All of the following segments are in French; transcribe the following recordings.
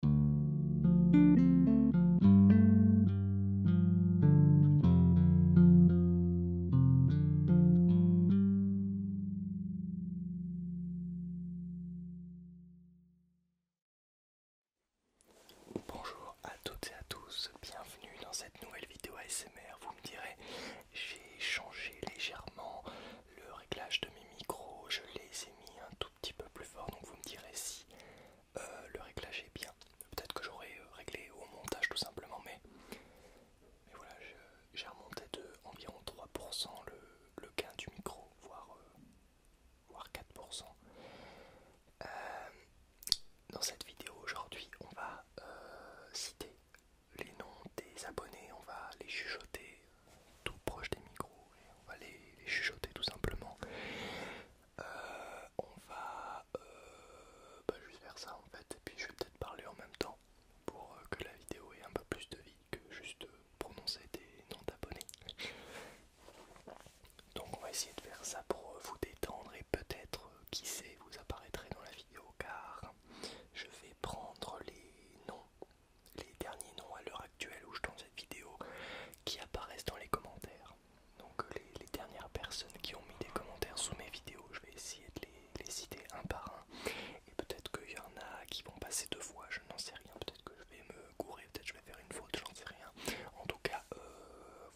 Bonjour à toutes et à tous, bienvenue dans cette nouvelle vidéo ASMR. Vous me direz, j'ai changé légèrement le réglage de mes micros, je les ai mis un tout petit peu plus fort, donc vous me direz si euh, le réglage est bien. Peut-être que j'aurais euh, réglé au montage tout simplement, mais, voilà, j'ai remonté de environ 3% le, le gain du micro, voire, 4%. Euh, dans cette vidéo aujourd'hui, on va citer les noms des abonnés, on va les chuchoter tout proche des micros et on va les, chuchoter tout simplement. Euh, on va euh, bah, juste faire ça en fait, et puis je vais peut-être parler en même temps pour euh, que la vidéo ait un peu plus de vie que juste prononcer des noms d'abonnés. Donc on va essayer de faire ça pour vous détendre et peut-être, qui sait, vous apparaîtrez dans la vidéo car je vais prendre les noms les derniers noms à l'heure actuelle où je tourne cette vidéo qui apparaissent dans les commentaires. Donc euh, les, dernières personnes qui ont mis des commentaires sous mes vidéos, je vais essayer de les, citer un par un. Et peut-être qu'il y en a qui vont passer deux fois, je n'en sais rien. Peut-être que je vais me gourer, peut-être que je vais faire une faute, j'en sais rien. En tout cas, euh,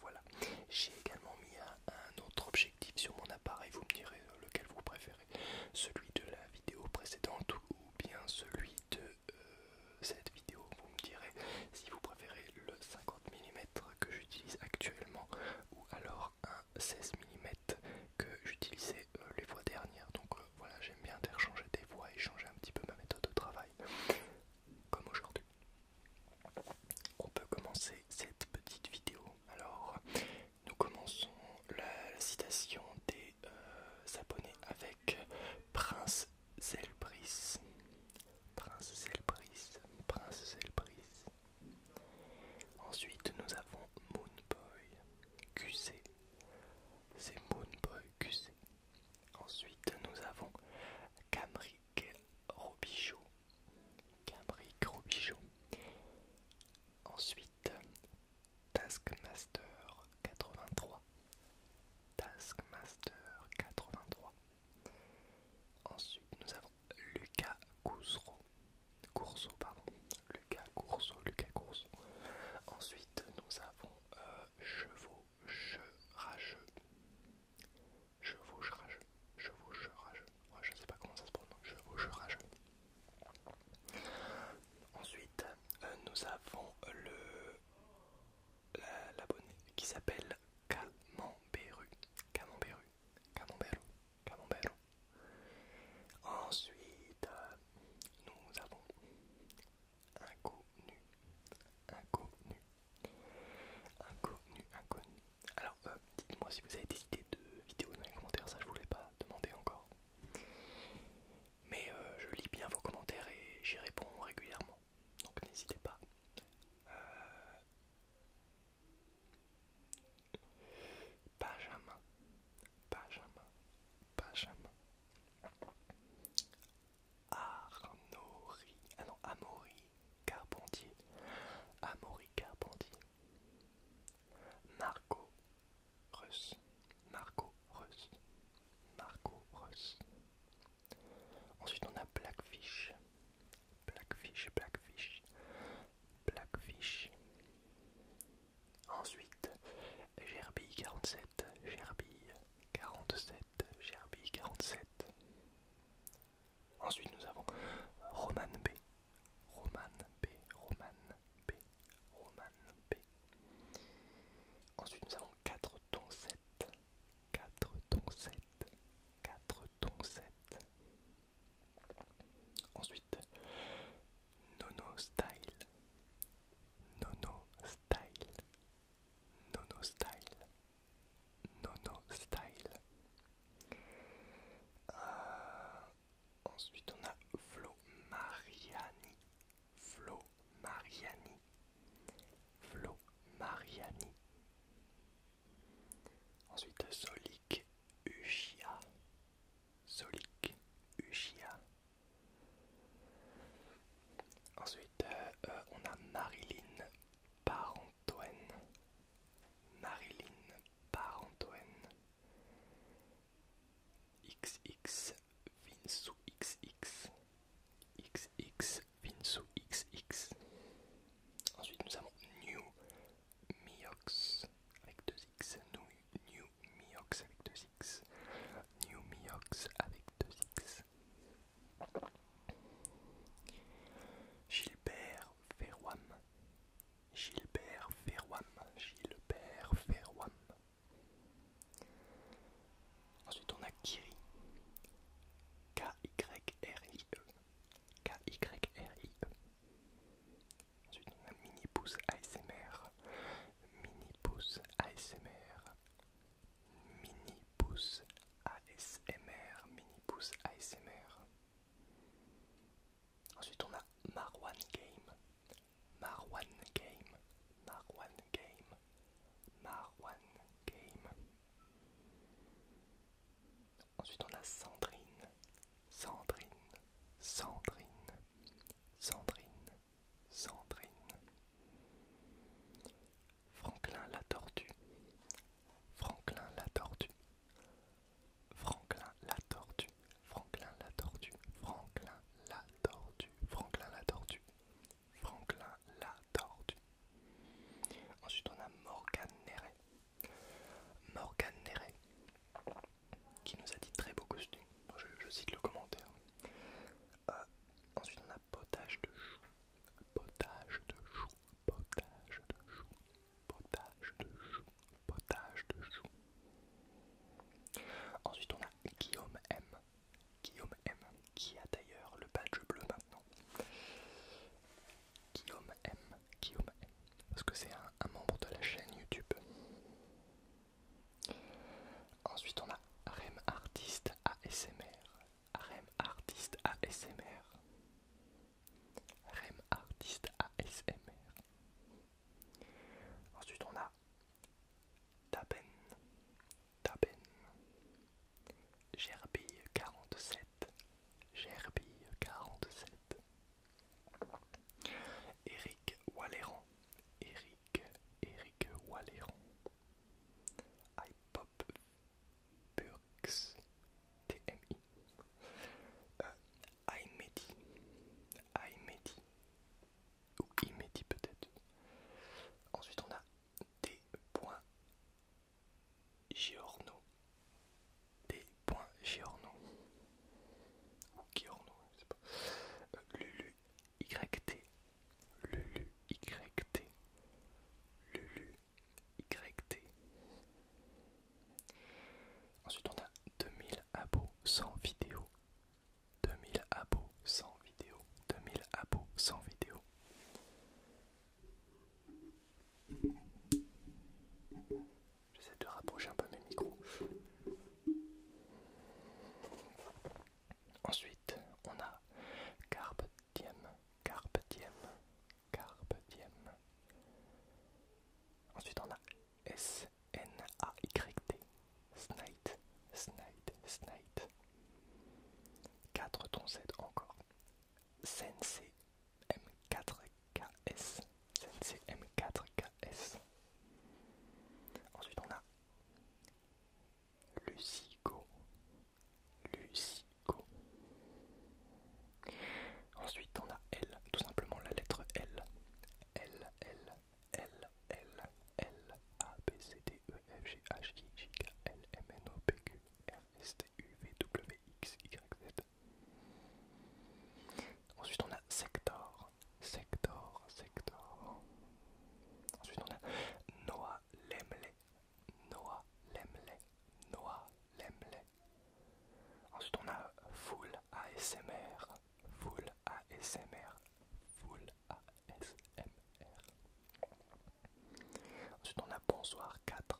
voilà. J'ai également mis un autre objectif sur mon appareil, vous me direz lequel vous préférez. Celui de la vidéo précédente ou bien celui de cette vidéo. Vous me direz si vous préférez le 50 mm que j'utilise actuellement ou alors un 16 mm que j'utilisais euh, les fois dernières. Donc euh, voilà, j'aime bien interchanger des voix et changer un petit peu ma méthode de travail comme aujourd'hui. On peut commencer cette petite vidéo. Alors, nous commençons la citation des euh, s'abonner avec Prince Zelbris. Prince Zelbris, Prince Zelbris. Ensuite, nous avons Moonboy QC. C'est Moonboy QC. Ensuite, nous avons Camric Robichaud. Camric Robichaud. Ensuite, Taskmaster 83. Taskmaster 83. Ensuite, nous avons Lucas Cousro. pardon. Lucas Lucas Ensuite, nous avons euh, Chevaux, je rageux. Chevaux, je rageux. je sais pas comment ça se prononce. Chevaux, rageux. Ensuite, euh, nous avons le l'abonné qui s'appelle Camemberu. Ensuite, nous avons inconnu. Inconnu. Inconnu, inconnu. Alors, euh, dites-moi si vous avez des idées de vidéos dans les commentaires, ça je vous l'ai pas demander encore mais euh, je lis bien vos commentaires et j'y réponds régulièrement. Donc n'hésitez pas. Euh... Benjamin, Benjamin, Benjamin. Arnori, ah non, Amaury Carpentier. Amaury Carpentier. Marco Russ, Marco Russ, Marco Russ. Ensuite on a Blackfish, Blackfish, Blackfish, Blackfish. Ensuite Gerbille 47, Gerbille 47, Gerbille 47. Ensuite nous avons Roman B, Roman B, Roman P. Roman P. Ensuite, nous avons 4 tons 7. 4 tons 7. 4 tons 7. Ensuite, Nono Style. Nono Style. Nono Style. Nono Style. Euh, Ensuite, on a Flo Mariani. Flo Mariani. Flo Mariani. Ensuite, Solik Uchia. Solik Uchia. Ensuite, euh, euh, on a Marilyn Parantoine. Marilyn Parantoine. XX sous XX XX sous XX Ensuite nous avons New Miox avec 2X New, New Miox avec 2X New Miox avec 2X Gilbert Ferroam Gilbert Ferwam. Gilbert Ferwam. Ensuite on a Kiri. K-Y-R-I-E. K-Y-R-I-E. Ensuite on a Mini ASMR. Mini ASMR. Mini ASMR. Mini ASMR. Ensuite, on a Marwan Game. Marwan Game. Marwan Game. Marwan Game. Ensuite, on a Sandrine. Sandrine. Sandrine. Sandrine. Sandrine. Franklin la tortue. Franklin la tortue. Franklin la tortue, Franklin la tortue, Franklin la tortue, Franklin la tortue, Franklin la tortue. Ensuite on a Morgan Neret. Morgan Neret qui nous a dit très beau costume. Je, cite le commentaire. Euh, ensuite on a potage de chou. Potage de chou. Potage de chou potage de chou, potage de chou. Ensuite, on a Guillaume M. Guillaume M, qui a d'ailleurs le badge bleu maintenant. Guillaume M, Guillaume M, parce que c'est un, un membre de la chaîne YouTube. Ensuite, on a Rem Artiste ASMR. Rem Artiste ASMR. Rem Artiste ASMR. Ensuite on a Taben, Taben, Gerbille 47, Gerbille 47, Eric Walleran, Eric, Eric Walleran, Ipop Burks, TMI euh, Imedi, Aimedi, qui ou Imedi peut-être. Ensuite on a des points Giorno, des points Giorno, ou Giorno, je sais pas, euh, Lulu, YT, Lulu, YT, Lulu, YT, Ensuite, on a 2000 abos sans vidéo. 2000 abos sans vidéo. 2000 abos sans vidéo. J'essaie de rapprocher un peu mes micros. Ensuite, on a Carpe Diem. Carpe Diem. Carpe Ensuite, on a S-N-A-Y-T. Snite, Snite, Snite. 4 tons encore. Sensei M4KS. Sensei M4KS. Ensuite, on a le Lucie Ensuite, on a L, tout simplement la lettre L. L, L, L, L, L, A, B, C, D, E, F, G, H, I, J, K, L, M, N, O, P, Q, R, S, T, U, V, W, X, Y, Z. Ensuite, on a Sector, Sector, Sector. Ensuite, on a Noah Lemley, Noah Lemley, Noah Lemley, Ensuite on a Full ASMR, Full ASMR, Full ASMR. Ensuite on a Bonsoir 4,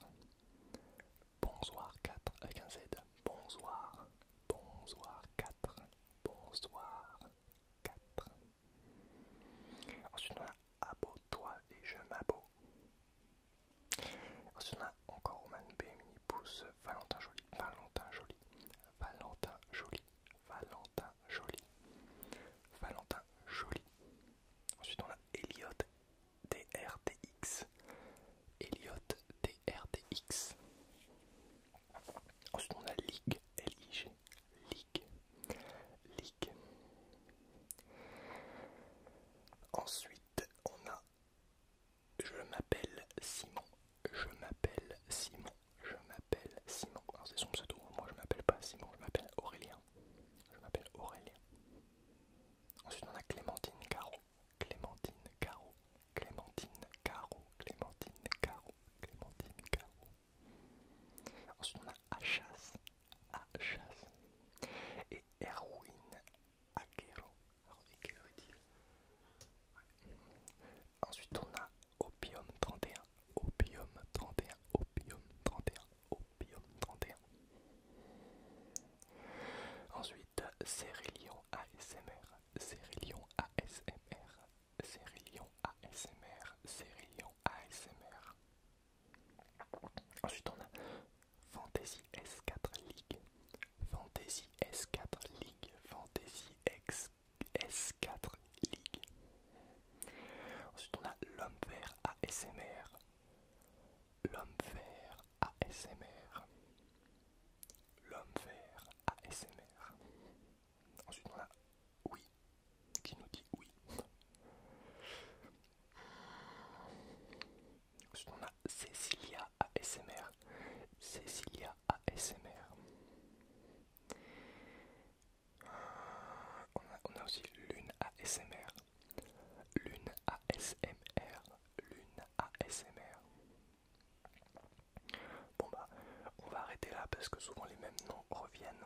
Bonsoir 4 avec un Z, Bonsoir, Bonsoir 4, Bonsoir 4. Ensuite on a Abo toi et je m'abo. Ensuite, on a encore Roman B, Mini Pouce, Valentin Joli, Valentin Joli, Valentin Joli, Valentin Joli, Valentin Joli. Ensuite, on a Elliot DRTX, Elliot DRTX. Ensuite, on a Ligue, L-I-G, Ligue, Ensuite, on a Je m'appelle Simon. Je m'appelle Simon. Je m'appelle Simon. Alors c'est son pseudo. Moi je m'appelle pas Simon, je m'appelle Aurélien. Je m'appelle Aurélien. Ensuite on a Clémentine Caro. Clémentine Caro. Clémentine Caro. Clémentine Caro. Clémentine Caro. Ensuite on a Achas. Achas et Erwin Akero. Ensuite, on a Opium 31, Opium 31, Opium 31, Opium 31. Ensuite, Cérélion ASMR, Cérélion ASMR, Cérélion ASMR, Cérélion ASMR, Ensuite, on a Fantasy S4 League, Fantasy S4 League, Fantasy X, S4 League. Ensuite, on a L'Homme Vert ASMR, L'Homme Vert ASMR, L'Homme Vert ASMR. Ensuite, on a Oui, qui nous dit Oui on a Cécilia ASMR. Cécilia ASMR. on a aussi Lune ASMR. Lune ASMR. Lune ASMR. Bon bah, on va arrêter là parce que souvent les mêmes noms reviennent.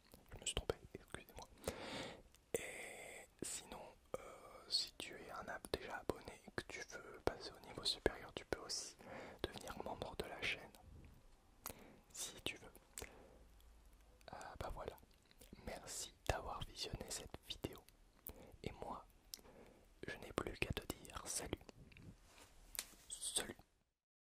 je me suis trompé, excusez-moi. Et sinon, euh, si tu es un abonné déjà abonné et que tu veux passer au niveau supérieur, tu peux aussi devenir membre de la chaîne. Si tu veux. Ah, bah voilà. Merci d'avoir visionné cette vidéo. Et moi, je n'ai plus qu'à te dire salut. Salut.